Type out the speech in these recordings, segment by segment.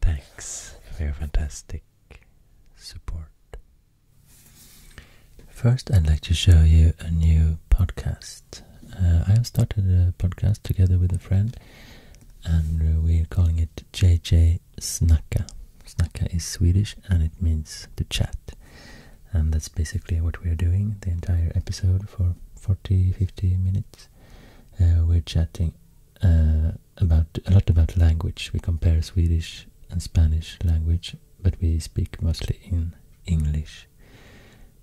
Thanks for your fantastic support. First, I'd like to show you a new podcast. Uh, I have started a podcast together with a friend, and uh, we're calling it JJ Snacka. Snacka is Swedish and it means to chat. And that's basically what we're doing the entire episode for 40 50 minutes. Uh, we're chatting about a lot about language. We compare Swedish and Spanish language, but we speak mostly in English.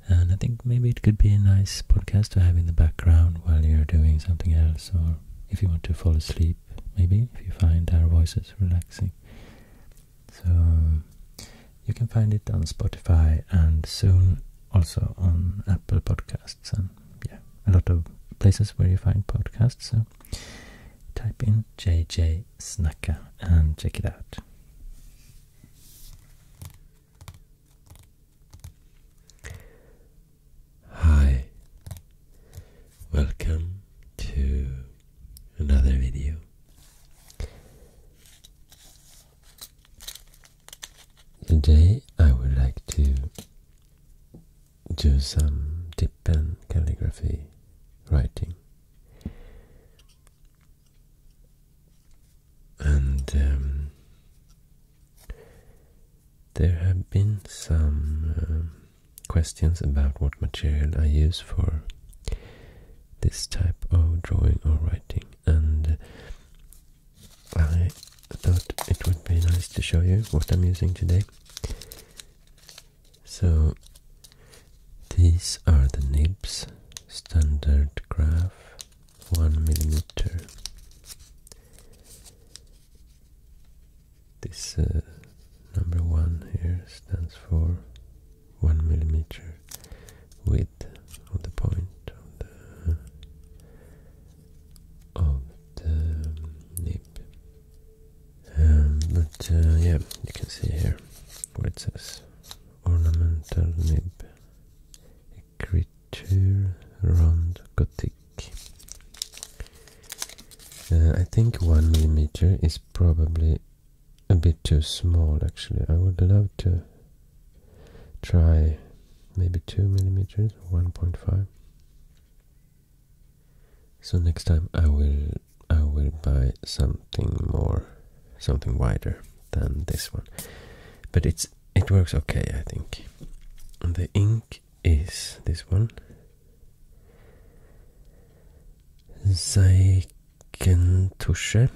And I think maybe it could be a nice podcast to have in the background while you're doing something else, or if you want to fall asleep, maybe if you find our voices relaxing. So you can find it on Spotify and soon also on Apple Podcasts and yeah, a lot of places where you find podcasts. So Type in JJ Snacka and check it out. Hi, welcome to another video. Today I would like to do some dip pen calligraphy writing. And um, there have been some um, questions about what material I use for this type of drawing or writing, and I thought it would be nice to show you what I'm using today. So these are the nibs, standard graph, one millimeter. This uh, number one here stands for one millimeter width of the point of the nib. Um, but uh, yeah, you can see here where it says. Ornamental nib. Écriture round Gothic. Uh, I think one millimeter is probably a bit too small actually. I would love to try maybe two millimeters, 1.5. So next time I will I will buy something more, something wider than this one. But it's it works okay, I think. the ink is this one. Zeikentusche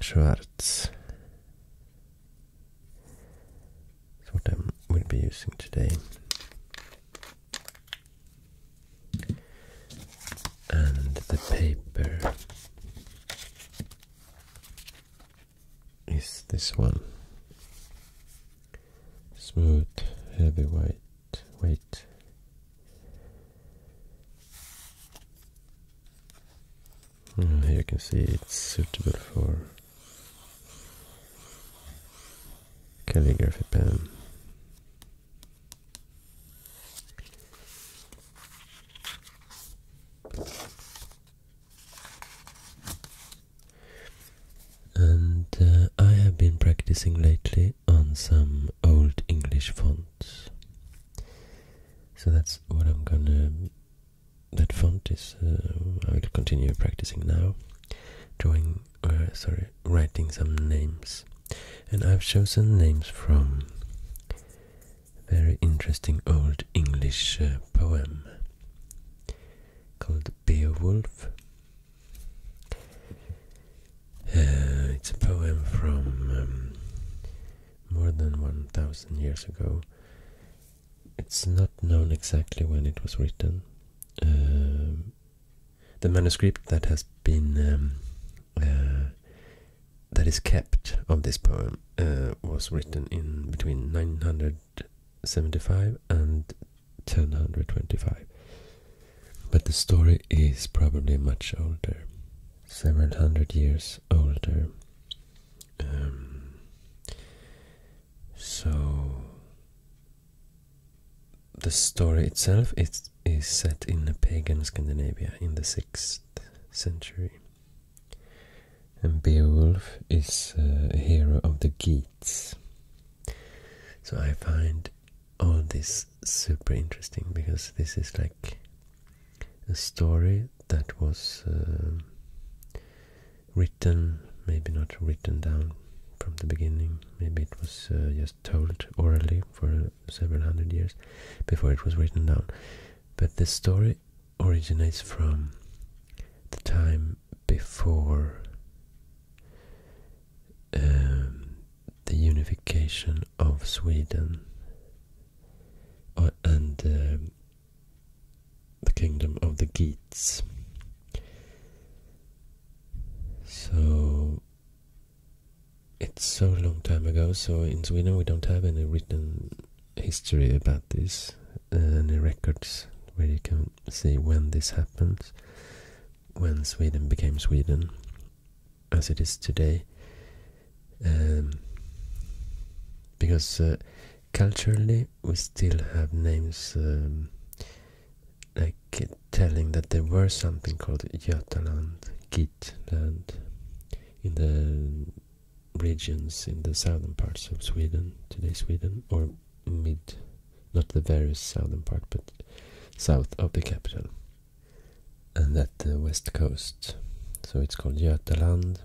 Schwarz. That's what I'm going to be using today. And the paper is this one. Smooth, heavyweight, weight. And mm, here you can see it's suitable for calligraphy pen. And uh, I have been practicing lately on some old English fonts. So that's what I'm gonna. That font is. Uh, I will continue practicing now, drawing sorry, writing some names. And I've chosen names from very interesting old English uh, poem called Beowulf. Uh, it's a poem from um, more than 1000 years ago. It's not known exactly when it was written. Um, the manuscript that has been um, uh, that is kept of this poem uh, was written in between 975 and 1025 but the story is probably much older several hundred years older um, so the story itself is set in pagan Scandinavia in the 6th century. And Beowulf is a hero of the Geats. So I find all this super interesting because this is like a story that was uh, written, maybe not written down from the beginning. Maybe it was uh, just told orally for several hundred years before it was written down. But the story originates from the time before um, the unification of Sweden uh, and um, the kingdom of the Geats. So it's so long time ago, so in Sweden we don't have any written history about this, any records where you can see when this happened, when Sweden became Sweden as it is today. Um, because uh, culturally we still have names um, like telling that there were something called Jotaland, Gitland, in the regions in the southern parts of Sweden, today Sweden, or mid, not the very southern part, but south of the capital, and that the west coast. So it's called Jötaland.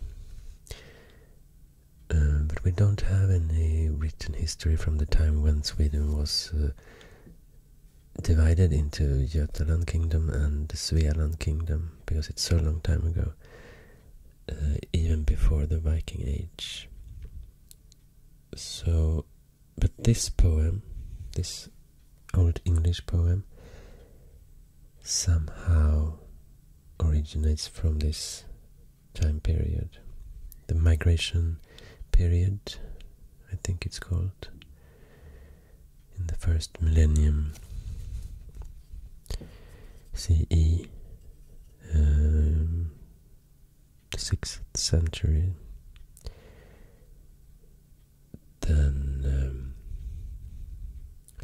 Uh, but we don't have any written history from the time when Sweden was uh, divided into Jutland Kingdom and Svealand Kingdom because it's so long time ago, uh, even before the Viking Age. So, but this poem, this old English poem, somehow originates from this time period, the migration period, I think it's called, in the first millennium CE, um, the sixth century. Then um,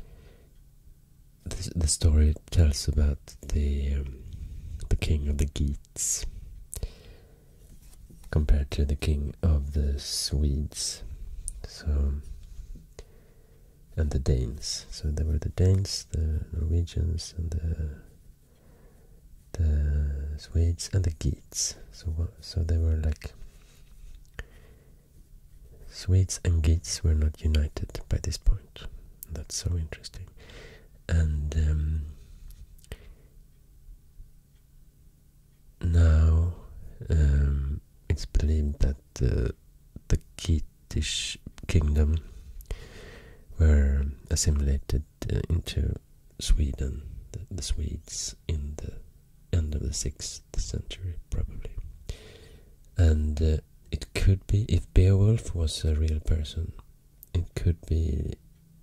the, the story tells about the um, the king of the Geats compared to the king of the Swedes. So and the Danes. So there were the Danes, the Norwegians, and the the Swedes and the Geats. So so they were like Swedes and Geats were not united by this point. That's so interesting. And um, now um, it's believed that uh, the Kitish kingdom were assimilated uh, into Sweden, the, Swedes, in the end of the 6th century, probably. And uh, it could be, if Beowulf was a real person, it could be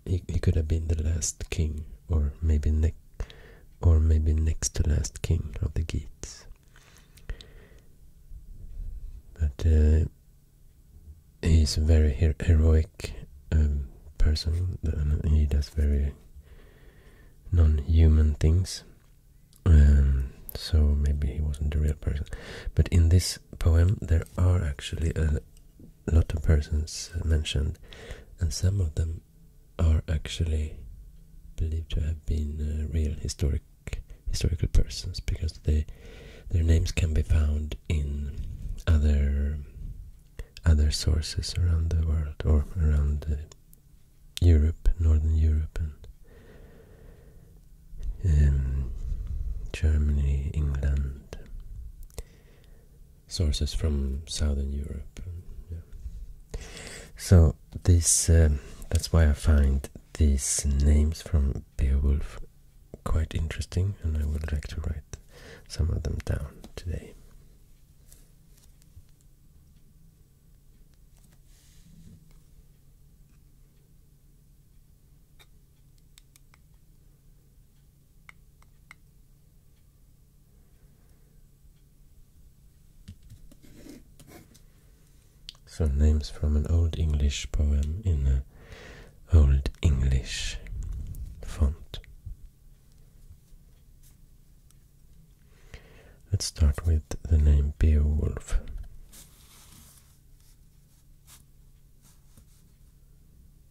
he, could have been the last king or maybe ne or maybe next to last king of the Geats. But uh, he's a very heroic um, person. He does very non-human things. Um, so maybe he wasn't the real person. But in this poem, there are actually a, lot of persons mentioned, and some of them are actually believed to have been uh, real historic historical persons because they their names can be found in other other sources around the world or around uh, Europe, Northern Europe, and um, Germany, England, sources from southern Europe. So this um, that's why I find these names from Beowulf quite interesting, and I would like to write some of them down today. So names from an Old English poem in an Old English font. Let's start with the name Beowulf.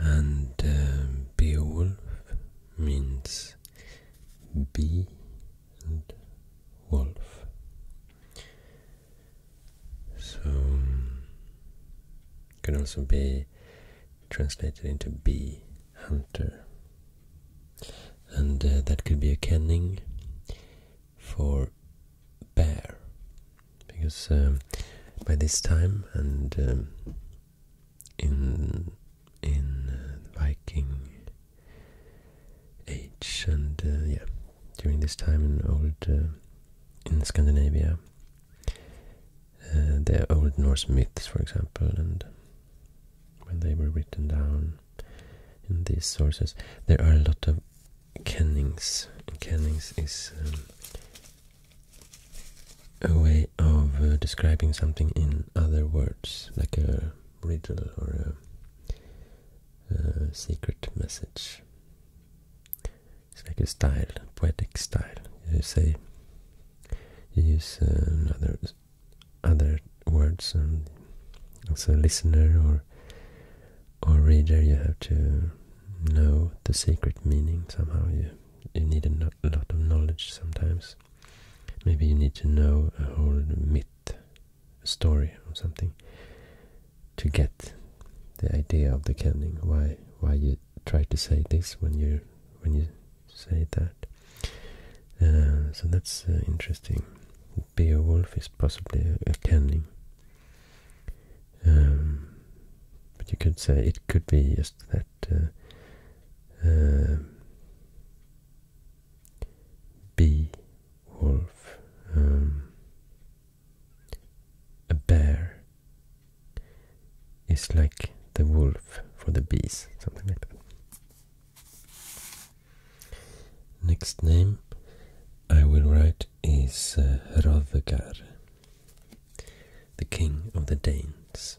And um, Beowulf means "be" and wolf. So um, can also be translated into bee hunter. And uh, that could be a kenning for bear, because um, by this time and um, in in uh, Viking age and uh, yeah, during this time in old in Scandinavia, uh, the Old Norse myths, for example, and when they were written down in these sources. There are a lot of kennings. Kennings is um, a way of uh, describing something in other words, like a riddle or a secret message. It's like a style, poetic style. You say, you use uh, other other words, and um, as a listener or or reader, you have to know the secret meaning somehow. You you need a, lot of knowledge sometimes. Maybe you need to know a whole myth, story or something, to get the idea of the canon. Why why you try to say this when you when you say that. Uh, so that's uh, interesting. Beowulf is possibly a, a um, but you could say it could be just that uh, uh, Beowulf, um, a bear is like the wolf for the bees, something like that. Next name I will write is uh, Hrothgar, the king of the Danes.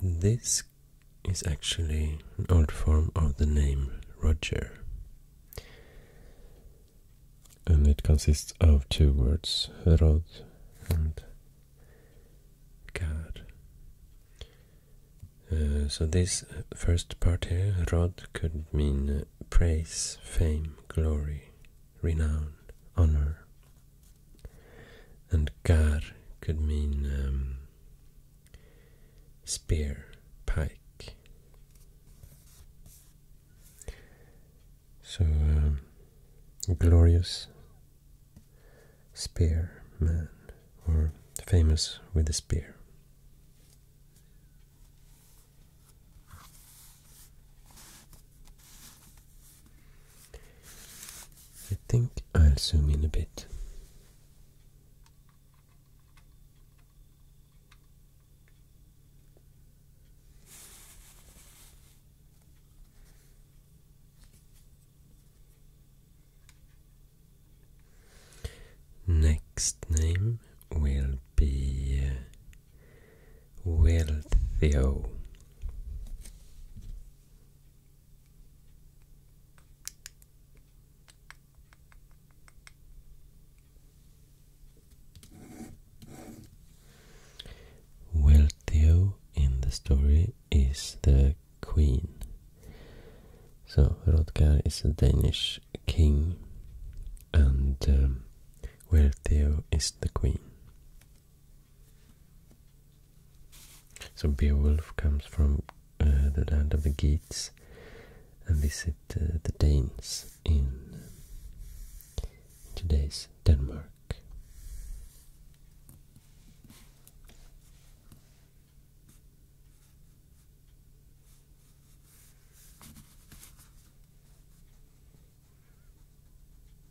This is actually an old form of the name Roger. And it consists of two words, Rod and God. Uh, so this first part here, Rod, could mean uh, praise, fame, glory, renown, honor. And gar could mean um, spear, pike. So, um, glorious spearman, or famous with the spear. I think I'll zoom in a bit. Next name will be uh, Will Theo. Wealthio in the story is the queen. So Hrodgar is the Danish king and um, Wealthio is the queen. So Beowulf comes from uh, the land of the Geats and visit uh, the Danes in today's Denmark.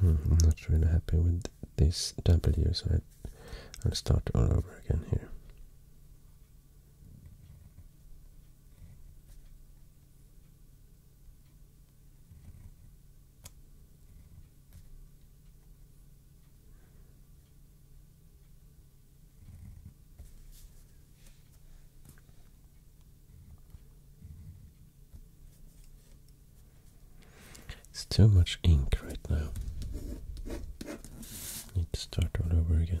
Hmm, I'm not really happy with this W, so I'll start all over again here. It's too much ink right now. Need to start all over again.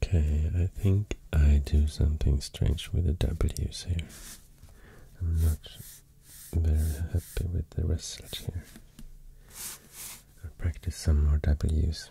Okay, I think I do something strange with the W's here. I'm not very happy with the result here. I'll practice some more W's.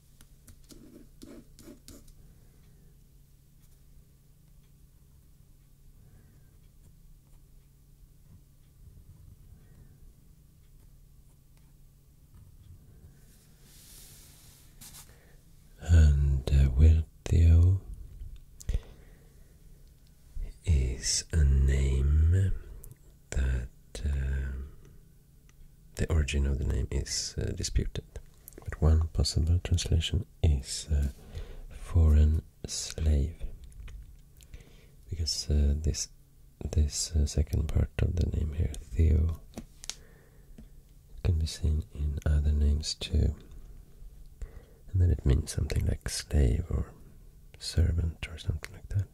And uh, is a name that uh, the origin of the name is uh, disputed, but one possible translation is uh, foreign slave, because uh, this this second part of the name here, Theo, can be seen in other names too, and then it means something like slave or servant or something like that.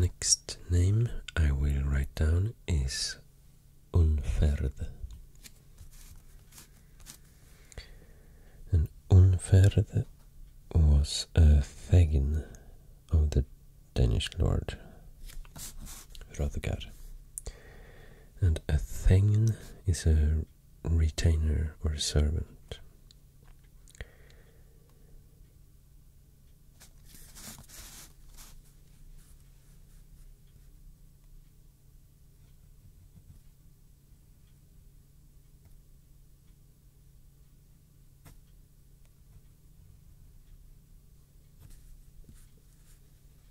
Next name I will write down is Unfärd. And Unfärd was a fagin of the Danish lord Hrothgar. And a thing is a retainer or servant.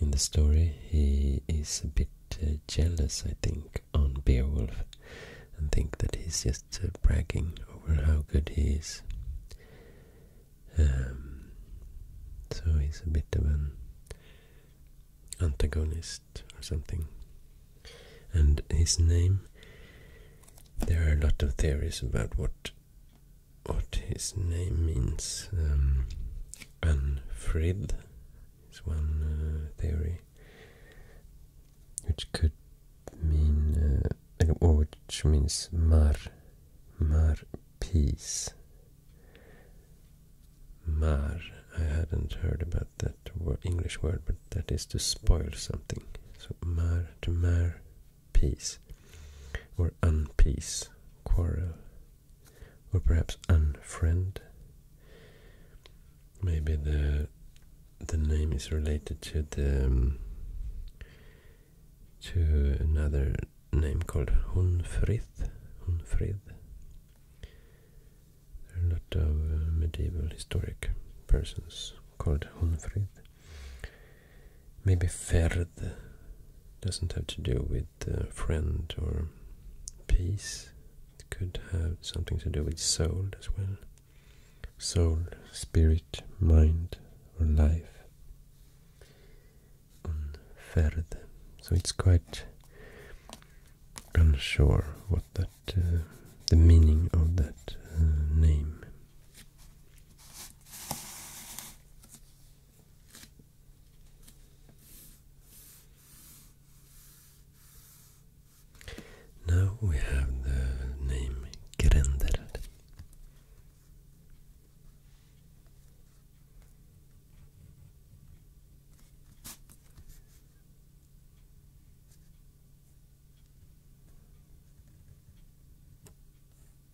in the story, he is a bit uh, jealous, I think, on Beowulf and think that he's just uh, bragging over how good he is. Um, so he's a bit of an antagonist or something. And his name, there are a lot of theories about what what his name means. Um, is one uh, theory, which could mean, uh, or which means mar, mar peace. Mar, I hadn't heard about that word, English word, but that is to spoil something. So mar to mar, peace, or unpeace, quarrel, or perhaps unfriend. Maybe the the name is related to the um, to another name called Hunfrith. Hunfrid. There are a lot of uh, medieval historic persons called Hunfrid. Maybe Ferd doesn't have to do with the uh, friend or peace. could have something to do with soul as well. Soul, spirit, mind, or life. Unfärd. So it's quite unsure what that, uh, the meaning of that uh, name. Now we have the name Grendel.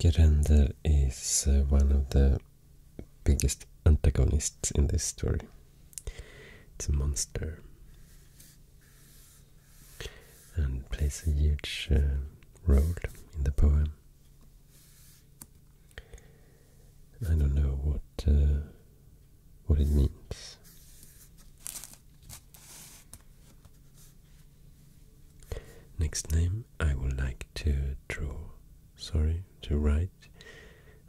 Gerender is uh, one of the biggest antagonists in this story. It's a monster and plays a huge uh, role in the poem. I don't know what uh, what it means. Next name I would like to draw, sorry, to write.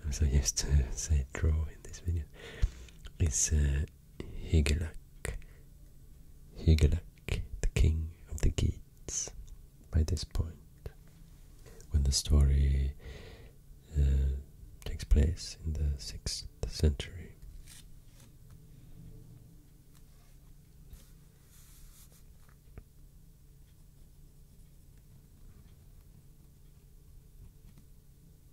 I'm used to say draw in this video. Is uh, Higelac. Higelac, the king of the Geats, by this point. When the story uh, takes place in the 6th century.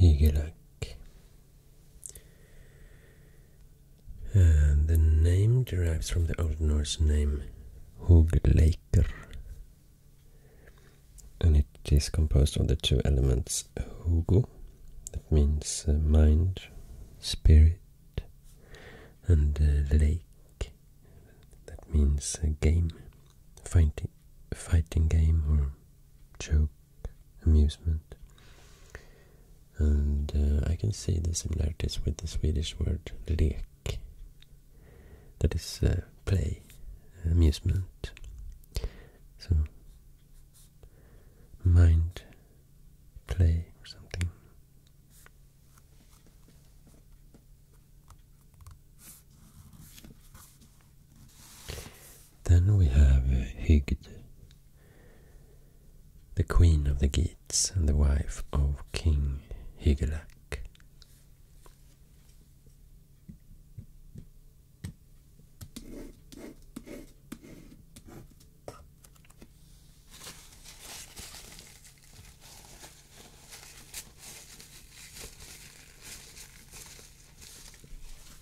Higelac. And the name derives from the Old Norse name Hugleikr, and it is composed of the two elements Hugu, that means uh, mind, spirit, and uh, lake, that means uh, game, fighting fighting game or joke amusement. And uh, I can see the similarities with the Swedish word lek, that is uh, play, amusement. So, mind, play, or something. Then we have uh, Hygd, the queen of the Geats and the wife of King Hygelac.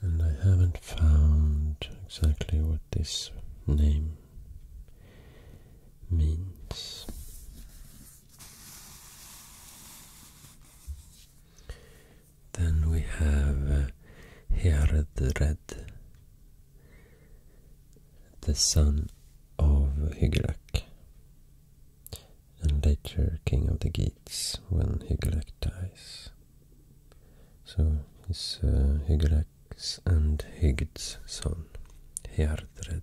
And I haven't found exactly what this name means. Then we have uh, the son of Hygelac, and later king of the Geats when Hygelac dies. So he's uh, and Higd's son, Heardred.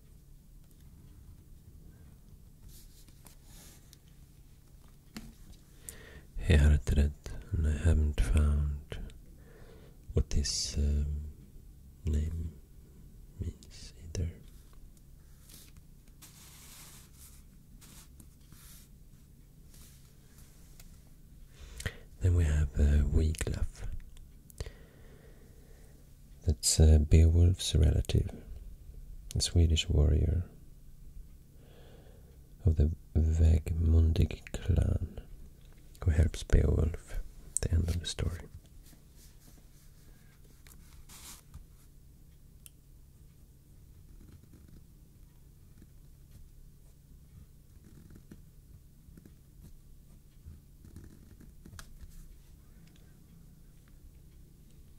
and I haven't found what this um, name means either. Then we have uh, that's uh, Beowulf's relative, a Swedish warrior of the Vagmundig clan, who helps Beowulf at the end of the story.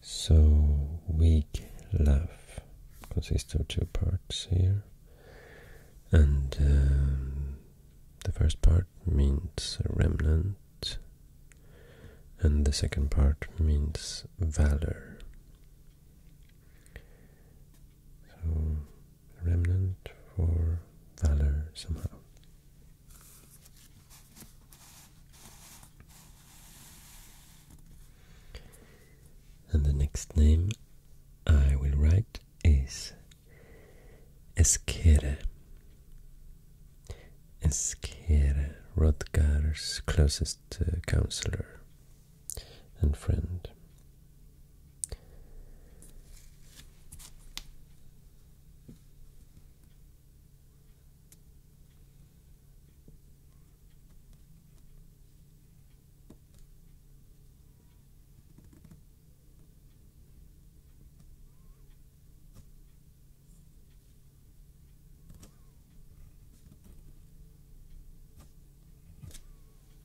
So weak love consists of two parts here, and um, the first part means remnant, and the second part means valor. So remnant for valor somehow. And the next name I will write is Eskere. Eskere, Rodgar's closest uh, counselor and friend.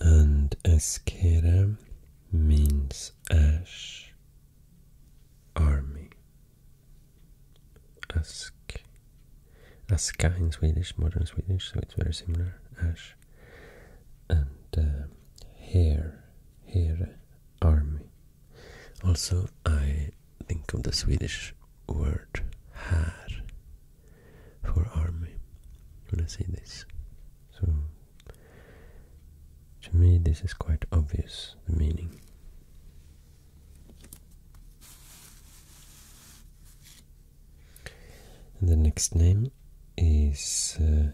And Eskera means ash army. Ask. Aska in Swedish, modern Swedish, so it's very similar. Ash. And uh, here, Here army. Also, I think of the Swedish word här for army when I see this. So, to me, this is quite obvious the meaning and the next name is uh,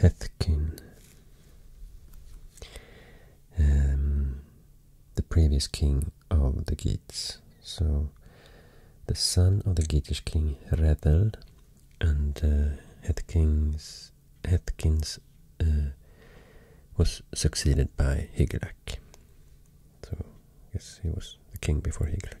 Hethkin. Um, the previous king of the Gits. So, the son of the Geatish king Revel and uh, Hethkin's. Atkins eh, was succeeded by Higelac. So, yes, he was the king before Higelac.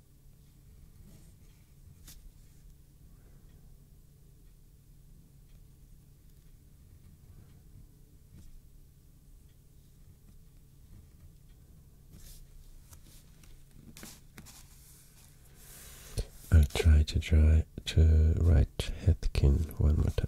I'll try to try to write Hetkin one more time.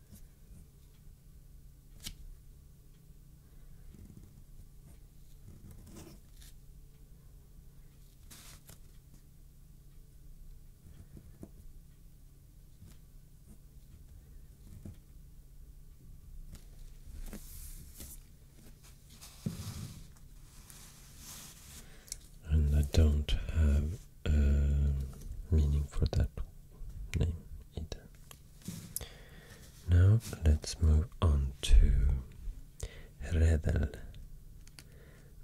And I don't have uh, meaning for that name either. Now let's move on to Redel,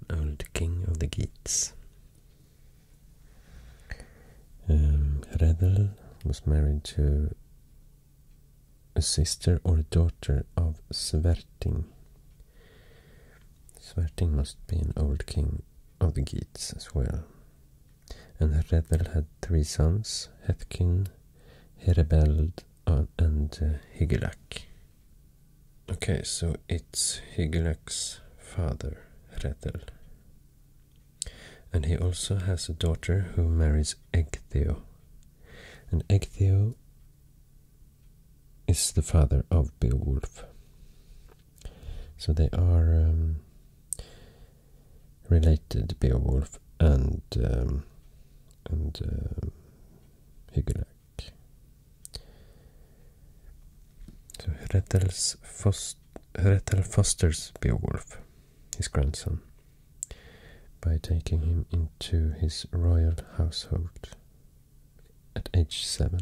old king of the Geats. Um, Redel was married to a sister or a daughter of Sverting. Sverting must be an old king of the Geats as well. And Hredel had three sons, Hethkin, Herebeld, uh, and uh, Higelac. Okay, so it's Higelac's father, Hredel. And he also has a daughter who marries Egtheo. And Egtheo is the father of Beowulf. So they are um, related, Beowulf and um, and um, Hygelac. So Hrethel's Hrettel fosters Beowulf, his grandson, by taking him into his royal household at age seven.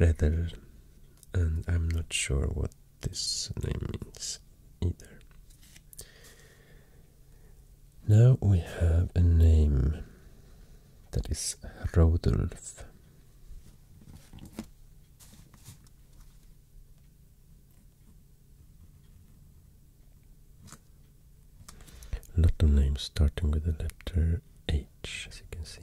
Redder, and I'm not sure what this name means either. Now we have a name that is Rodolf. A lot of names starting with the letter H, as you can see.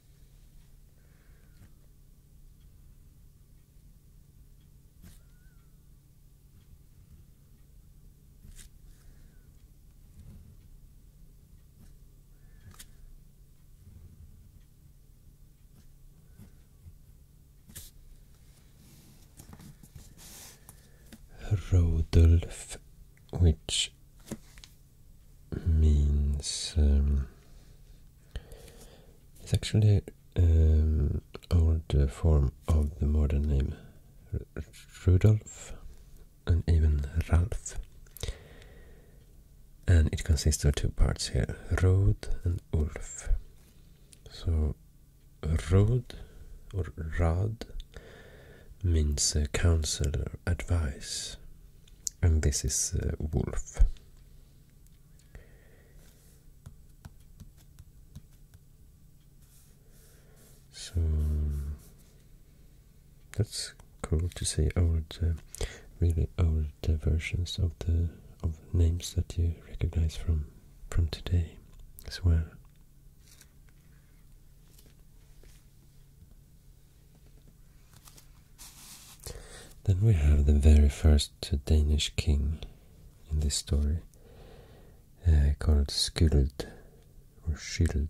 Rodolf, which means um, it's actually an um, old form of the modern name Rudolf and even Ralph. And it consists of two parts here, Rod and Ulf. So Rod or Rad means uh, counsel advice and this is uh, wolf. So that's cool to see old, uh, really old uh, versions of the of names that you recognize from from today as well. Then we have the very first Danish king in this story, uh, called Skuld or Shield.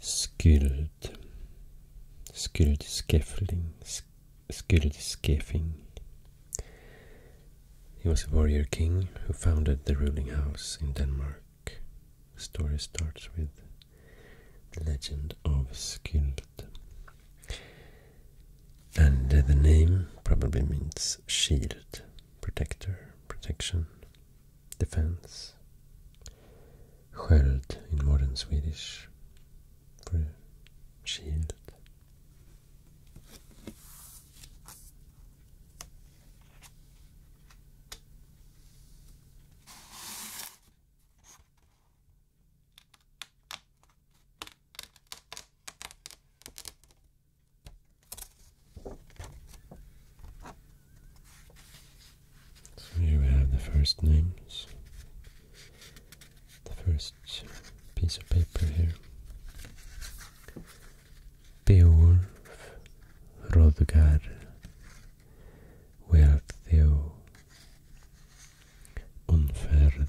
skilled skilled scaffolding skilled scaffing he was a warrior king who founded the ruling house in denmark the story starts with the legend of skilled and the name probably means shield, protector, protection, defense. Sköld in modern Swedish for shield. So here we have the first names, the first piece of paper here. Beowulf, Rodgar, Wealtheo, Unfärd,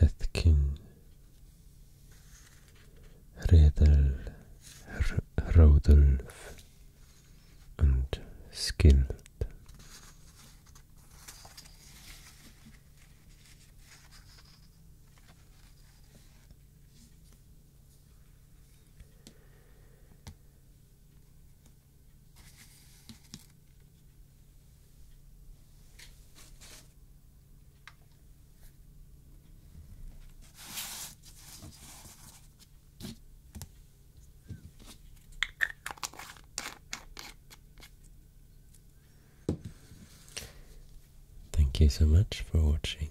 Hetkin Redel Rodolf and Skilled. Thank you so much for watching.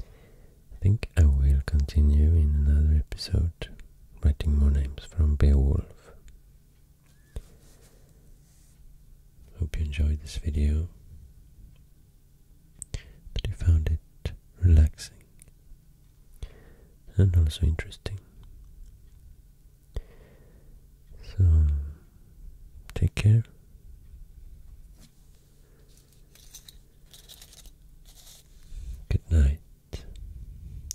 I think I will continue in another episode writing more names from Beowulf. Hope you enjoyed this video, that you found it relaxing and also interesting. So, take care. Good night.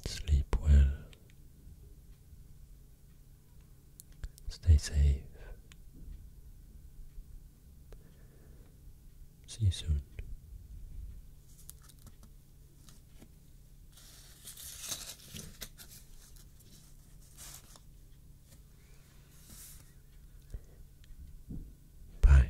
Sleep well. Stay safe. See you soon. Bye.